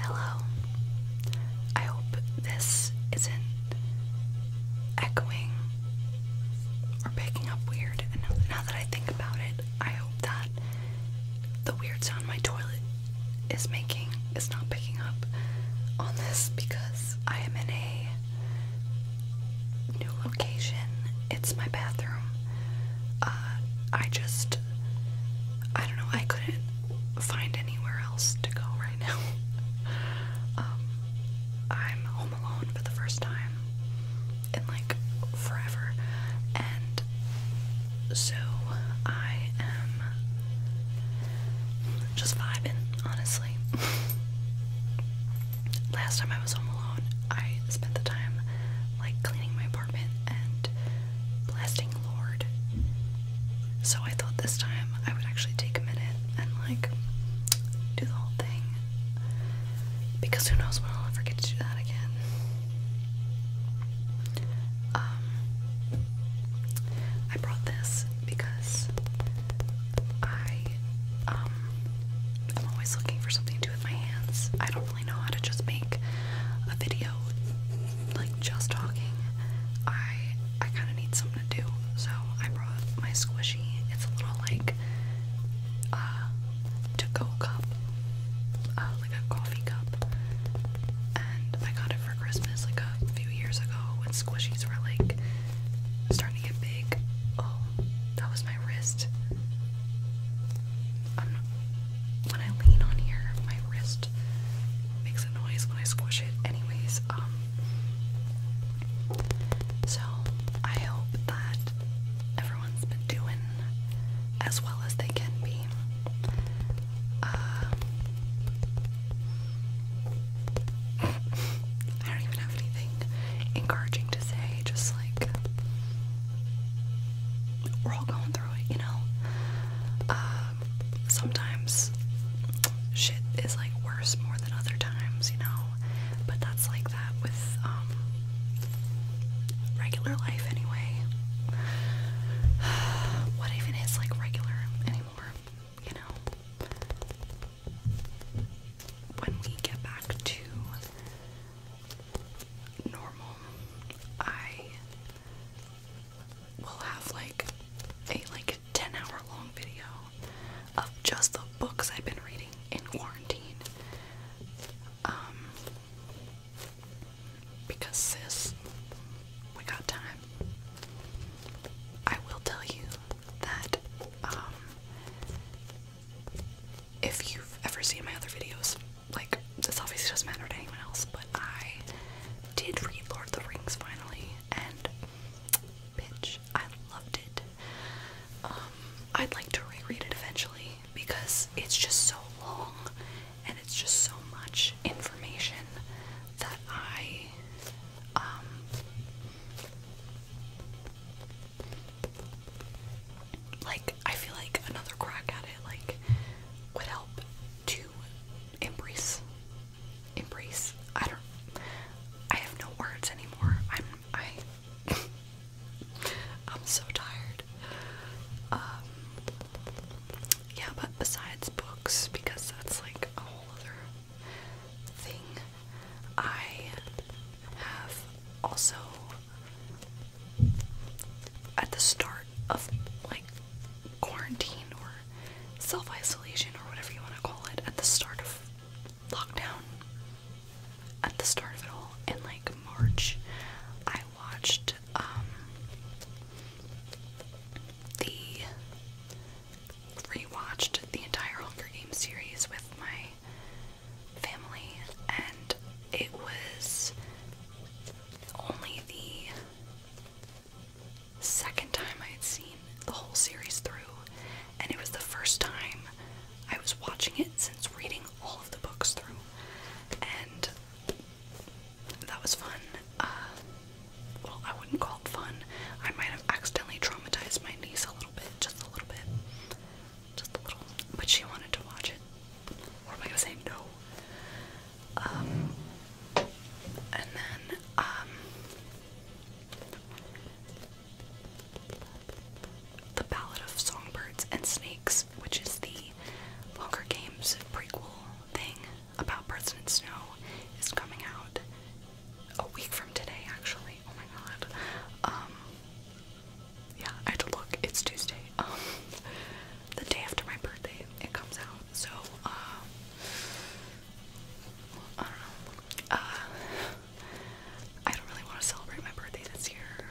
Hello. I hope this isn't echoing or picking up weird. And now that I think about it, I hope that the weird sound my toilet is making is not picking up on this because I am in a new location. It's my bathroom. Uh, I just I don't know, I couldn't find anywhere else to go right now. Um, I'm home alone for the first time in like forever, and so I am just vibing, honestly. Last time I was home alone, I spent the time like cleaning my apartment and blasting lord. So I thought this time I would actually take a minute and like do the whole thing. Because who knows when I'll ever to do that again. Um I brought this because I um I'm always looking for something to do with my hands. I don't probably know how to just make a video like just talking. I I kind of need something to do, so I brought my squishy. It's a little like uh to go cup, uh, like a coffee cup, and I got it for Christmas like a few years ago when squishies were like starting to get big. Oh, that was my wrist when I lean on here, my wrist makes a noise when I squish it. Anyways, um, so I hope that everyone's been doing as well as they can be. Uh, I don't even have anything encouraging to say, just like we're all going gone through it, you know. Um, sometimes shit is like worse more than other times, you know. But that's like that with um regular life anyway. what even is like regular anymore, you know? When we get back to normal, I will have like a like 10 hour long video of just the books I've been reading in quarantine. Um because sis, we got time. I will tell you that um if you've ever seen my other videos, like this obviously doesn't matter to anyone else, but I did read Lord of the Rings finally, and bitch, I loved it. Um, I'd like to reread it eventually because it's just so long and it's just so much information that I um like I feel like another crack at it like would help to embrace embrace I don't I have no words anymore. I'm I I'm so tired. Um, yeah, but besides books because that's like a whole other thing. I have also at the start of like quarantine or self isolation or whatever you want to call it, at the start of lockdown, at the start of it all, in like March, I watched um, the rewatched the entire Hunger Games series with my family, and it was only the second time I had seen the whole series through, and it was the first time I was watching it since reading all of the books through, and that was fun. Uh, well, I wouldn't call it fun. I might have accidentally traumatized my niece a little bit, just a little bit just a little. But she wanted to watch it. What am I gonna say no? Um, and then um, the Ballad of Songbirds and Snakes, which is the Hunger Games prequel thing about Birds Snow, is coming out a week from today. Actually, oh my god. Um, yeah, I had to look. It's Tuesday. Um, the day after my birthday, it comes out. So, uh, I don't know. Uh, I don't really want to celebrate my birthday this year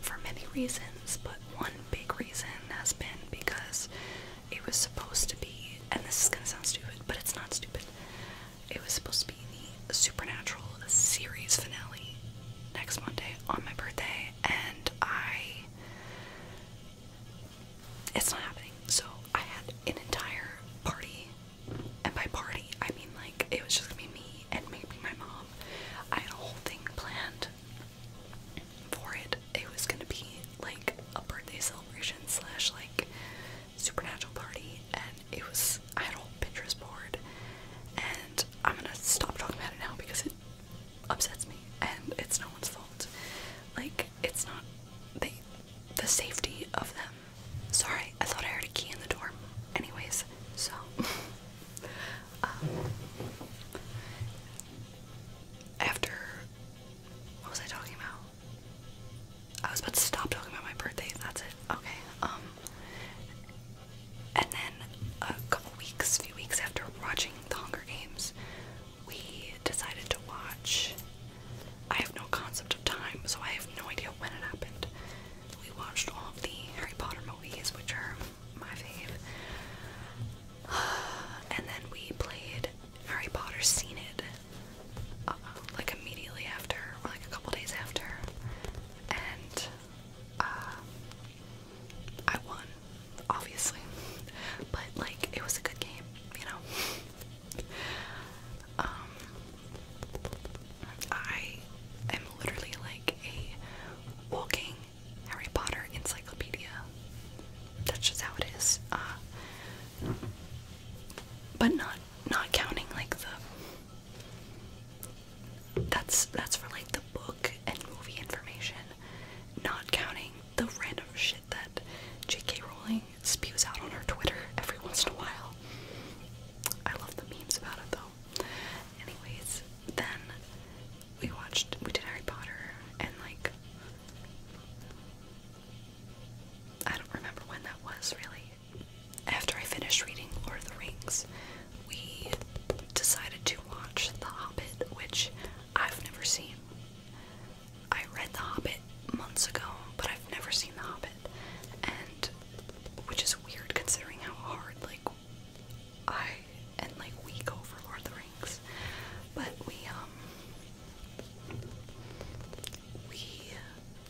for many reasons, but one big reason has been because it was supposed to be, and this is gonna sound stupid, but it's not stupid. It was supposed to be the Supernatural series finale next Monday on my birthday and I it's not happening. So I had an entire party and by party I mean like it was just gonna be me and maybe my mom. I had a whole thing planned for it. It was gonna be like a birthday celebration slash like supernatural party and it was I had a whole Pinterest board and I'm gonna stop talking about it now because it upsets me and it's no one's fault. Like, it's not the safety of them. Sorry, I thought I heard a key in the door. Anyways, so um, after what was I talking about? I was about to stop talking about my birthday, that's it. Okay. Um and then a couple weeks, few weeks after watching The Hunger Games, we decided to watch. I have no concept of time, so I have no idea when it happened. We watched all of the Harry Potter movies, which are my fave. And then we played Harry Potter Seen It, uh, like immediately after, or like a couple days after. And uh, I won, obviously. But like it was a good game, you know. um I am literally like a walking Harry Potter encyclopedia. That's just how it is. Uh but not not counting like the that's that's for like the book and movie information, not counting the random shit that J.K. Rowling spews out on her Twitter every once in a while. I love the memes about it though. Anyways, then we watched we did Harry Potter and like I don't remember when that was really. After I finished reading Lord of the Rings, we decided to watch The Hobbit, which I've never seen. I read The Hobbit months ago, but I've never seen The Hobbit, and which is weird considering how hard like I and like we go for Lord of the Rings. But we um we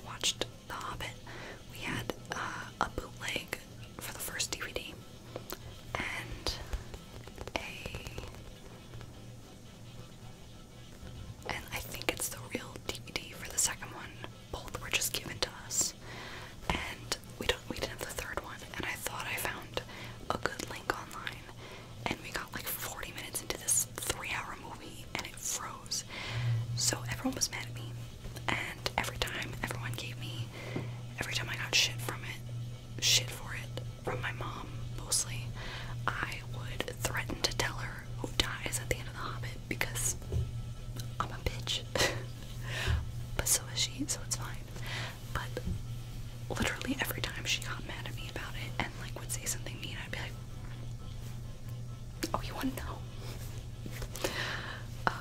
watched The Hobbit. We had uh, a bootleg for the first DVD and a and I think it's the real DVD for the second one. Both were just given to us. And we don't we didn't have the third one and I thought I found a good link online and we got like 40 minutes into this three hour movie and it froze. So everyone was mad at me and every time everyone gave me every time I got shit from it shit for it from my mom mostly I would threaten to tell her who dies at the end of the hobbit because I'm a bitch but so is she so it's fine but literally every time she got mad at me about it and like would say something mean I'd be like Oh, you want to know? Uh,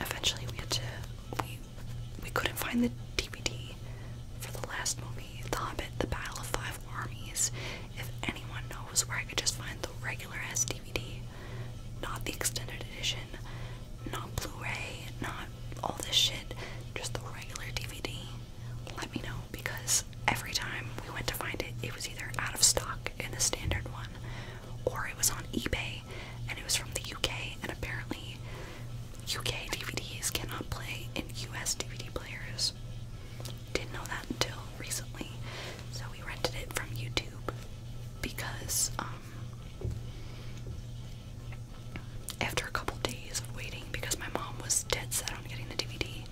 eventually we had to we we couldn't find the DVD for the last movie, The Hobbit, The Battle of Five Armies. If anyone knows where I could just find the regular ass DVD, not the extended edition, not Blu-ray, not all this shit, just the regular DVD, let me know because every time we went to find it, it was either out of stock in the standard one or it was on eBay and it was from the UK and apparently UK DVDs cannot play in US DVD players. Didn't know that until recently. So we rented it from YouTube because um after a couple days of waiting because my mom was dead set on getting the DVD,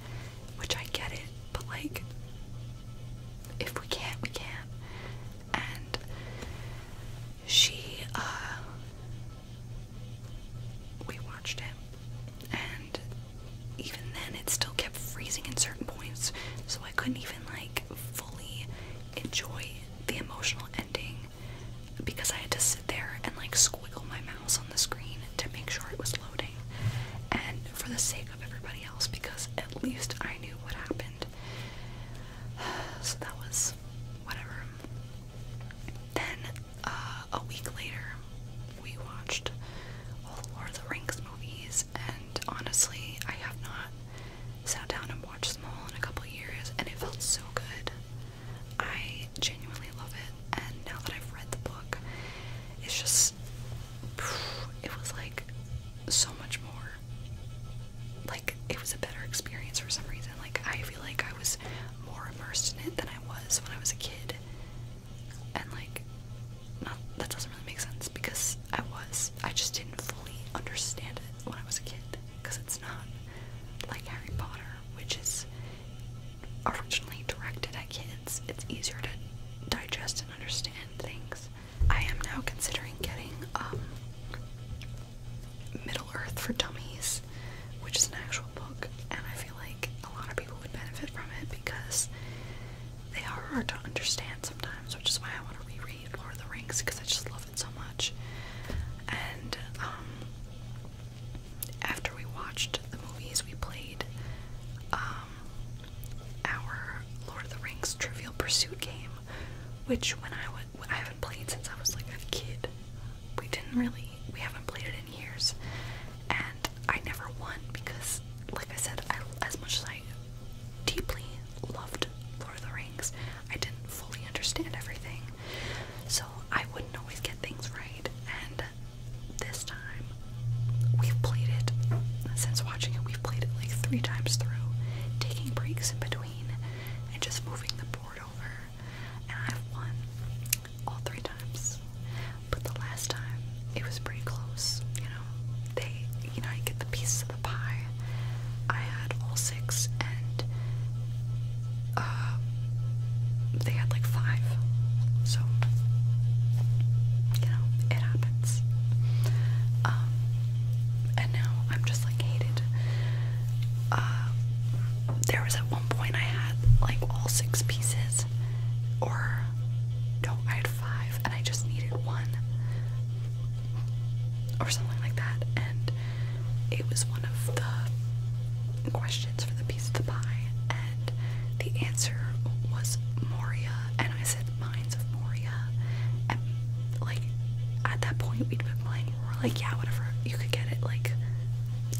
which I get it, but like, if we can't, we can't. And she, uh, we watched it, and even then, it still kept freezing in certain points, so I couldn't even like fully enjoy the emotional ending because I had to sit there and like squiggle my mouse on the screen to make sure it was loading. And for the sake of everybody because at least I knew what happened. So that was whatever. Then uh, a week later, we watched all the Lord of the Rings movies, and honestly, I have not sat down and watched them all in a couple years, and it felt so good. I genuinely love it, and now that I've read the book, it's just it was like so much more like it was a better experience for some reason like I feel like I was more immersed in it than I was when I was a kid and like not that doesn't really make sense because I was I just didn't fully understand it when I was a kid because it's not like Harry Potter which is originally directed at kids it's easier to digest and understand things I am now considering getting um, Middle Earth for Dummies, which is an actual book, and I feel like a lot of people would benefit from it because they are hard to understand sometimes, which is why I want to reread Lord of the Rings because I just love it so much. And um, after we watched the movies, we played um, um, our Lord of the Rings Trivial Pursuit game, which when I would I haven't played since I was like a kid. We didn't really we haven't played it in years, and I never won because, like I said, I, as much as I deeply loved Lord of the Rings, I didn't fully understand everything, so I wouldn't always get things right. And this time, we've played it since we've played it like three times through, taking breaks in between and just moving the board over. And I've won all three times. But the last time it was pretty close, you know. They you know, I get the pieces of the pie. I had all six and uh, they had like five. So you know, it happens. Um, and now I'm just like hated. Uh, there was at one point I had like all six pieces, or no, I had five, and I just needed one, or something like that. And it was one of the questions for the piece of the pie, and the answer was Moria, and I said illicit of Moria. And like at that point we'd been playing we're like, yeah, whatever, you could get it, like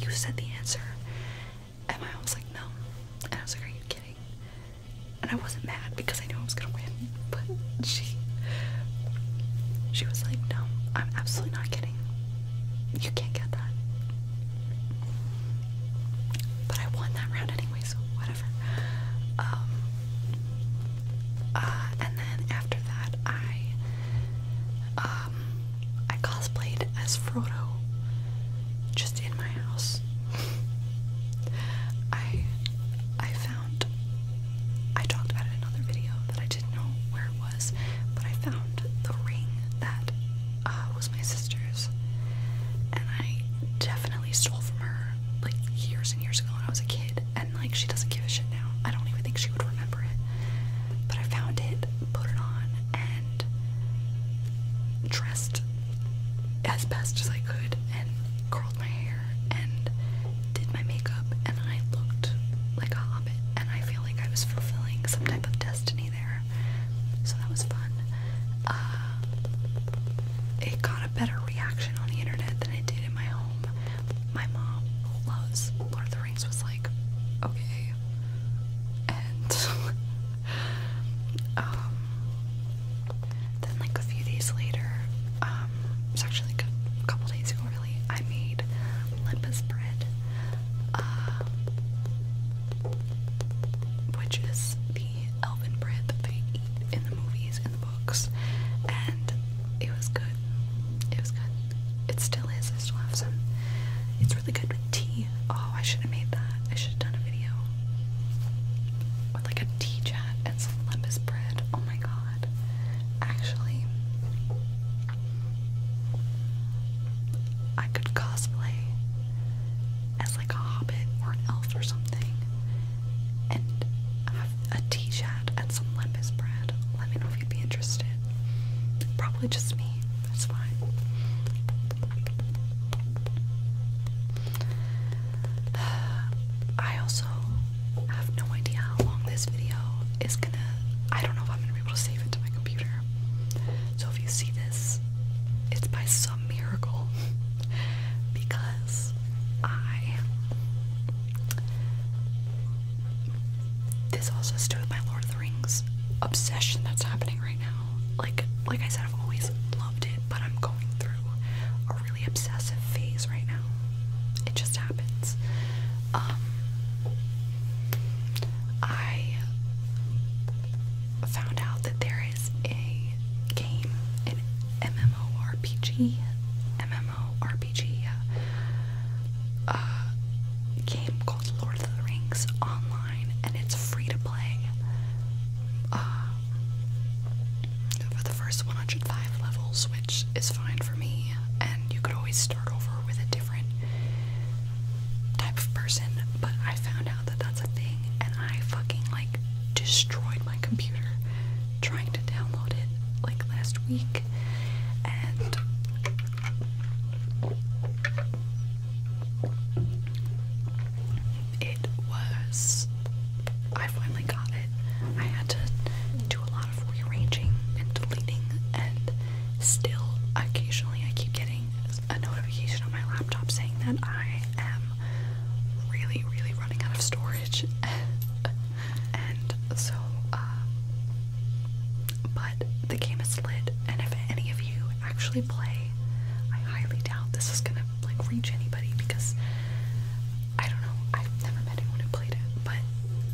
you said the answer. And I mom was like, no. And I was like, Are you kidding? And I wasn't mad because I knew I was gonna win, but she she was like, No, I'm absolutely not kidding. You can't get that. But I won that round anyway, so what um, uh, and then after that, I um, I cosplayed as Frodo just in my house. I I found I talked about it in another video that I didn't know where it was, but I found the ring that uh, was my sister's, and I definitely stole from her like years and years ago when I was a kid, and like she doesn't give a shit now. I don't even think she would remember it. But I found it, put it on, and dressed as best as I could, and curled my hair, and did my makeup, and then I looked like a hobbit. And I feel like I was fulfilling some type of destiny there. So that was fun. Uh, it got a better better reaction on the internet than it did in my home. My mom, loves Lord of the Rings, was like, okay. And um, then, like, a few days later, um, it was actually like a couple days ago, really, I made limpus bread, uh, which is elven bread that they eat in the movies and the books, and it was good. It was good. It still is. I still have some. It's really good with tea. Oh, I should have made that. I should have done a video with like a tea chat and some lemon bread. Oh my god. Actually, I could cosplay as like a hobbit or an elf or something and have a t shirt and some lembas bread. Let me know if you'd be interested. Probably just me, that's fine. I also have no idea how long this video is gonna. I don't know if I'm gonna be able to save it to my computer. So if you see this, it's by some miracle because I. This also has to do with my Lord of the Rings obsession that's happening right now. Like, like I said, I've always loved it, but I'm going through a really obsessive phase right now. It just happens. Um, I found out that there a game, an MMORPG, MMORPG uh, game called Lord of the Rings online, and it's free to play. Uh, for the first 105 levels, which is fine for me, and you could always start over with a different type of person, but I found out that that's a thing, and I fucking like destroyed my computer trying to download it like last week, and it was. I finally got it. I had to do a lot of rearranging and deleting, and still occasionally I keep getting a notification on my laptop saying that I am really, really running out of storage. and so, uh, but the game is lit, and if any of you actually play, I highly doubt this is gonna like reach anybody because I don't know, I've never met anyone who played it, but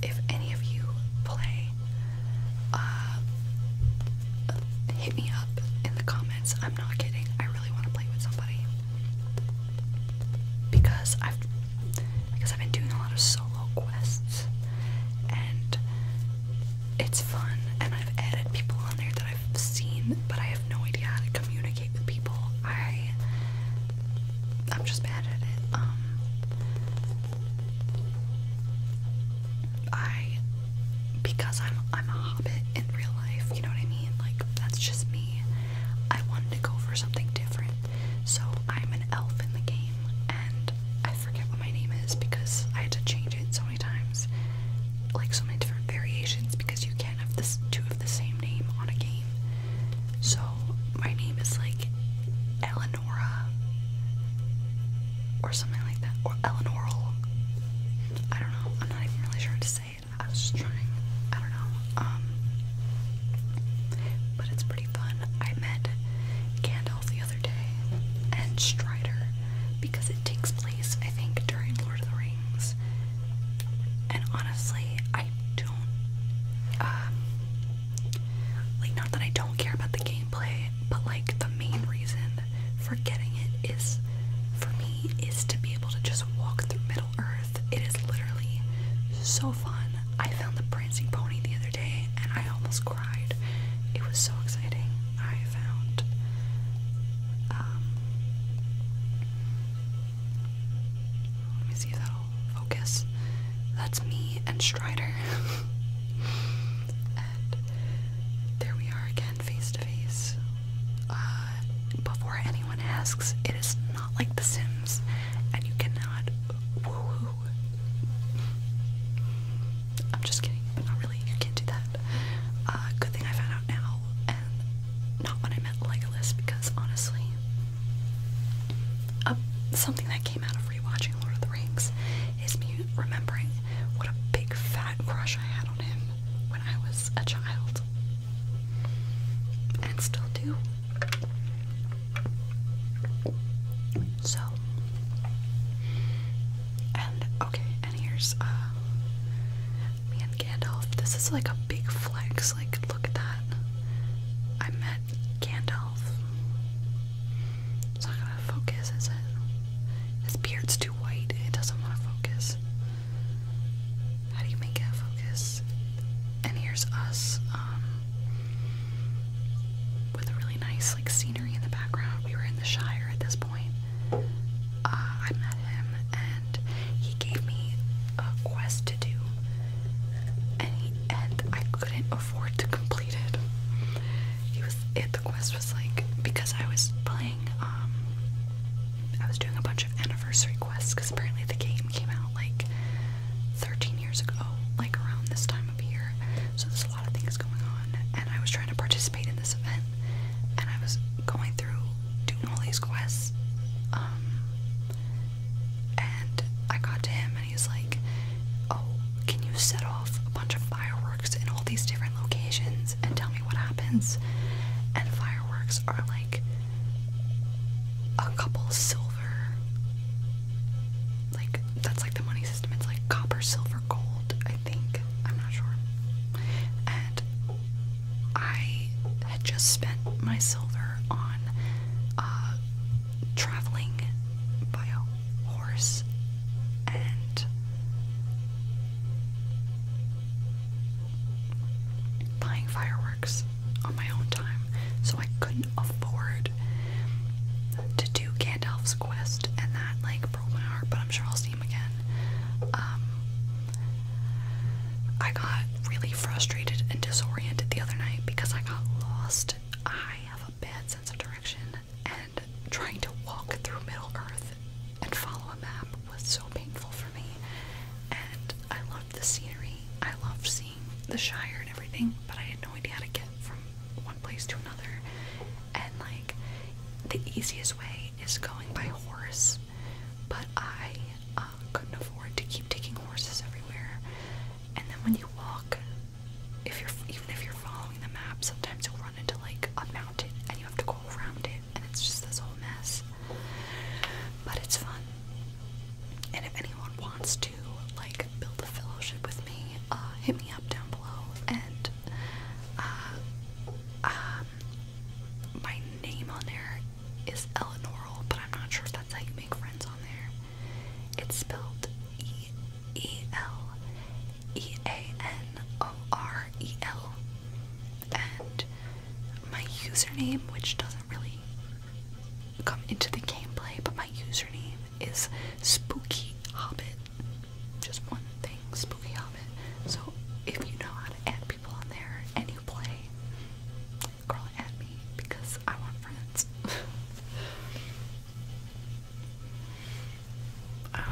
if any of you play, uh, hit me up in the comments. I'm not kidding. I really want to play with somebody because I've because I've been doing a lot of solo quests and it's fun and I've added people on there that I've seen but I have no idea how to communicate with people. I I'm just bad at it. Um I because I'm I'm a hobbit in real life. You know what I mean? Like, that's just me. I wanted to go for something different. So, I'm an elf in the game, and I forget what my name is because I had to change it so many times. Like, so many different variations because you can't have this, two of the same name on a game. So, my name is like Eleonora or something like that, or Eleanoral. I don't know, I'm not even really sure to say I was just trying. I don't know. Um, but it's pretty fun. I met Gandalf the other day and Strider because it takes place, I think, during Lord of the Rings. And honestly, I don't. Um, like, not that I don't care about the gameplay, but like the main reason forgetting it is for me is to be able to just walk through Middle Earth. It is literally so fun. I found the prancing pony the other day and I almost cried. It was so exciting. I found um, let me see if that'll focus. That's me and Strider. and there we are again face to face before anyone asks. It is not like The Sims, and you cannot I'm just kidding, but not really. You can't do that. Uh, good thing I found out now, and not when I met Legolas, because honestly, something that came out of rewatching Lord of the Rings is me remembering what a big fat crush I had on him when I was a child. And still do. So, and okay, and here's uh, me and Gandalf. This is like a big flex. Like, look at that. I met Gandalf. It's not gonna focus, is it? His beard's too white. It doesn't want to focus. How do you make it focus? And here's us um, with a really nice like scenery in the background. We were in the Shire at this point. Uh, I met him and he gave me a quest to do, and and I couldn't afford to complete it. He was it. The quest was like because I was playing um, I was doing a bunch of anniversary quests because apparently the game came out like 13 years ago, like around this time of year. So there's a lot of things going on, and I was trying to participate in this event, and I was going through doing all these quests. Um, and I got to him, and he's like, Oh, can you set off a bunch of fireworks in all these different locations? and tell me what happens. And fireworks are like a couple silver, like that's like the money system. It's like copper, silver, gold, I think. I'm not sure. And I had just spent my silver on uh, traveling by a horse and buying fireworks on my own time, so I couldn't afford to do Gandalf's quest, and that like broke my heart. But I'm sure I'll see him again. Um, I got really frustrated and disoriented the other night because I got lost. I have a bad sense of direction, and trying to walk through Middle Earth with and follow a map was so painful for me. And I loved the scenery. I loved seeing the Shire and everything, but I had no idea how to get from one place to another. And like the easiest way is going by horse, but I uh, couldn't afford to keep taking horses everywhere. And then when you walk, if you're even if you're following the map, sometimes you'll run into like a mountain and you have to go around it. And it's just this whole mess. But it's fun. And if anyone wants to like build a fellowship with me, uh, hit me up down below. And uh, um, my name on there is Eleanor. but I'm not sure if that's how you make friends on there. It's spelled E E L E A N O R E L and my username, which doesn't really come into the gameplay, but my username is Spooky Hobbit. Just one thing, Spooky Hobbit. So if you know how to add people on there and you play, girl, add me because I want friends. um,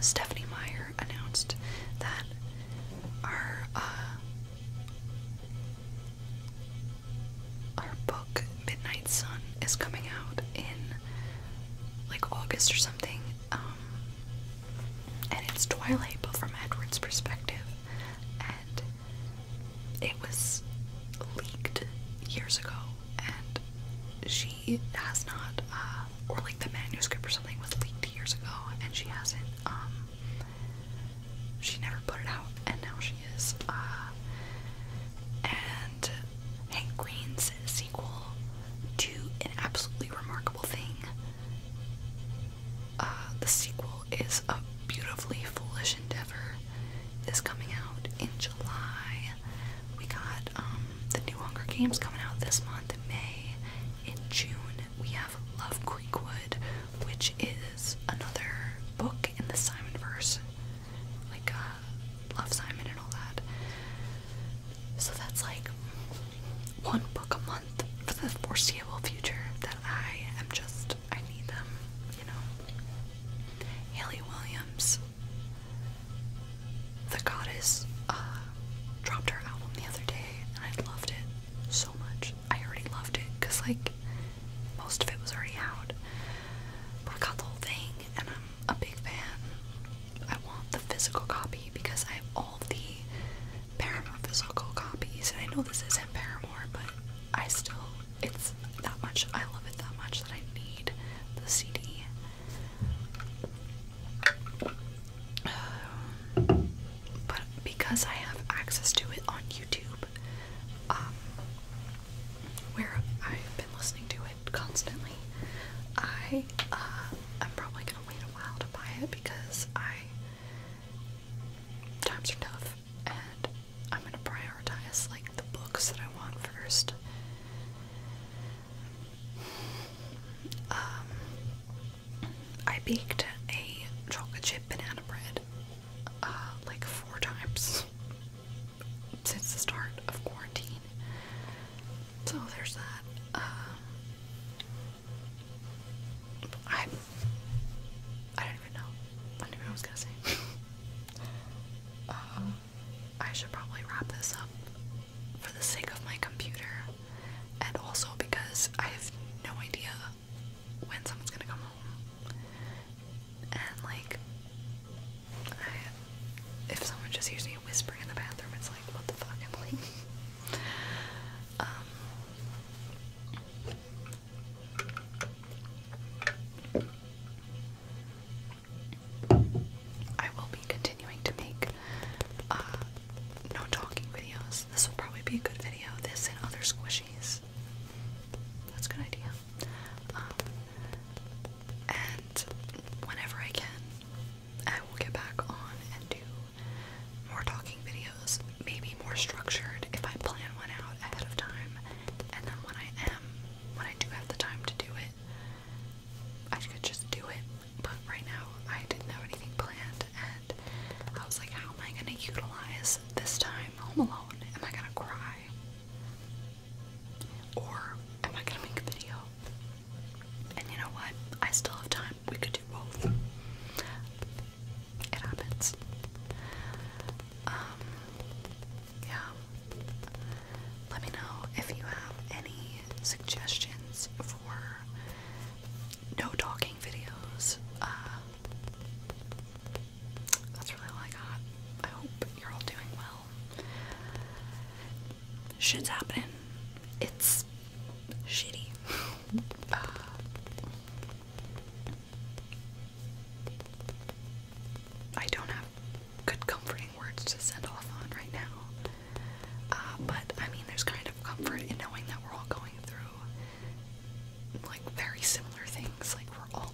Stephanie Meyer announced that our uh, our book Midnight Sun is coming out in like August or something, um, and it's Twilight, but from Edward's perspective, and it was leaked years ago and she has not, uh, or like the manuscript or something was leaked years ago, and she hasn't, um, she never put it out, and now she is, uh, and Hank Green's sequel to An Absolutely Remarkable Thing. Uh, the sequel is a beautifully foolish endeavor this coming out in July. We got um, the new Hunger Games coming out this month in May. In June, we have Love Creekwood, which is another book in the Simon verse, like uh, Love Simon and all that. So that's like one book a month for the foreseeable future that I am just, I need them, you know. Haley Williams the Goddess uh, dropped her album the other day, and I loved it so much. I already loved it because, like, most of it was already out. But I got the whole thing, and I'm a big fan. I want the physical copy because I have all the Paramore physical copies, and I know this isn't Paramore, but I still it's that much. I love it that much that I need the CD. Um, but because I have access to it on YouTube, um, where I've been listening to it constantly, I uh, I'm probably gonna wait a while to buy it because times are tough and I'm gonna prioritize like the books that I want first. Um, I baked a chocolate chip banana bread uh, like four times since the start of quarantine. So there's that. Um, I I don't even know. I do I was gonna say. Uh, I should probably wrap this up for the sake of my computer and also because I have no idea when someone's gonna come home. And like, if someone just hears me whispering in the bathroom, it's like, what the fuck, Emily? um, I will be continuing to make uh, no talking videos. This will probably be a good video. This and other squishies. That's a good idea. Um, and whenever I can, I will get back on and do more talking videos, maybe more structured if I plan one out ahead of time. And then when I am when I do have the time to do it, I could just do it. But right now, I didn't have anything planned, and I was like, how am I gonna utilize this time home alone? Am I gonna cry? Or am I gonna make a video? And you know what? I still have time. We could do both. It happens. Um, yeah. Let me know if you have any suggestions for no talking videos. Uh, that's really all I got. I hope you're all doing well. Shit's happening. It's shitty. Uh, I don't have good comforting words to send off on right now. Uh, but I mean, there's kind of comfort in knowing that we're all going through like very similar things. Like we're all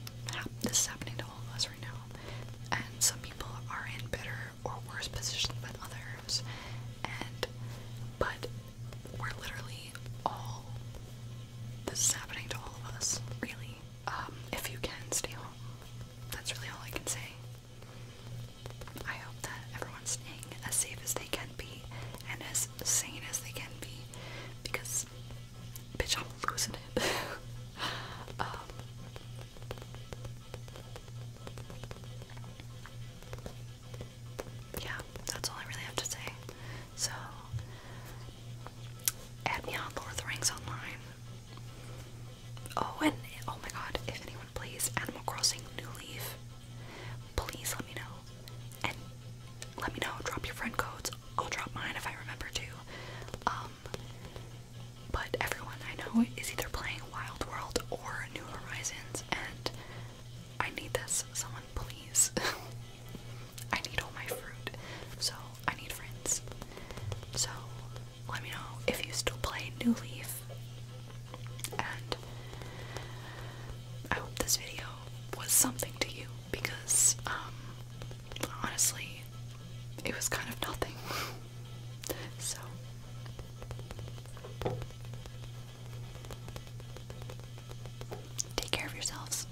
this is happening to all of us right now, and some people are in better or worse position than others. And but we're literally all this is happening to all of us, really. Um, if you can, stay home. That's really all I can say. I hope that everyone's staying as safe as they can be and as sane as they can be because, bitch, I'm losing it. Um, yeah, that's all I really have to say. So, add me on Lord Rings Online. Oh, and oh my god, if anyone plays Animal Crossing New Leaf, please let me know. And let me know, drop your friend codes. I'll drop mine if I remember to. Um, but everyone I know is either playing Wild World or New Horizons, and I need this. Someone, please. I need all my fruit. So I need friends. So let me know if you still play New Leaf. And I hope this video was something to you because, um, honestly, it was kind of nothing. so. Take care of yourselves.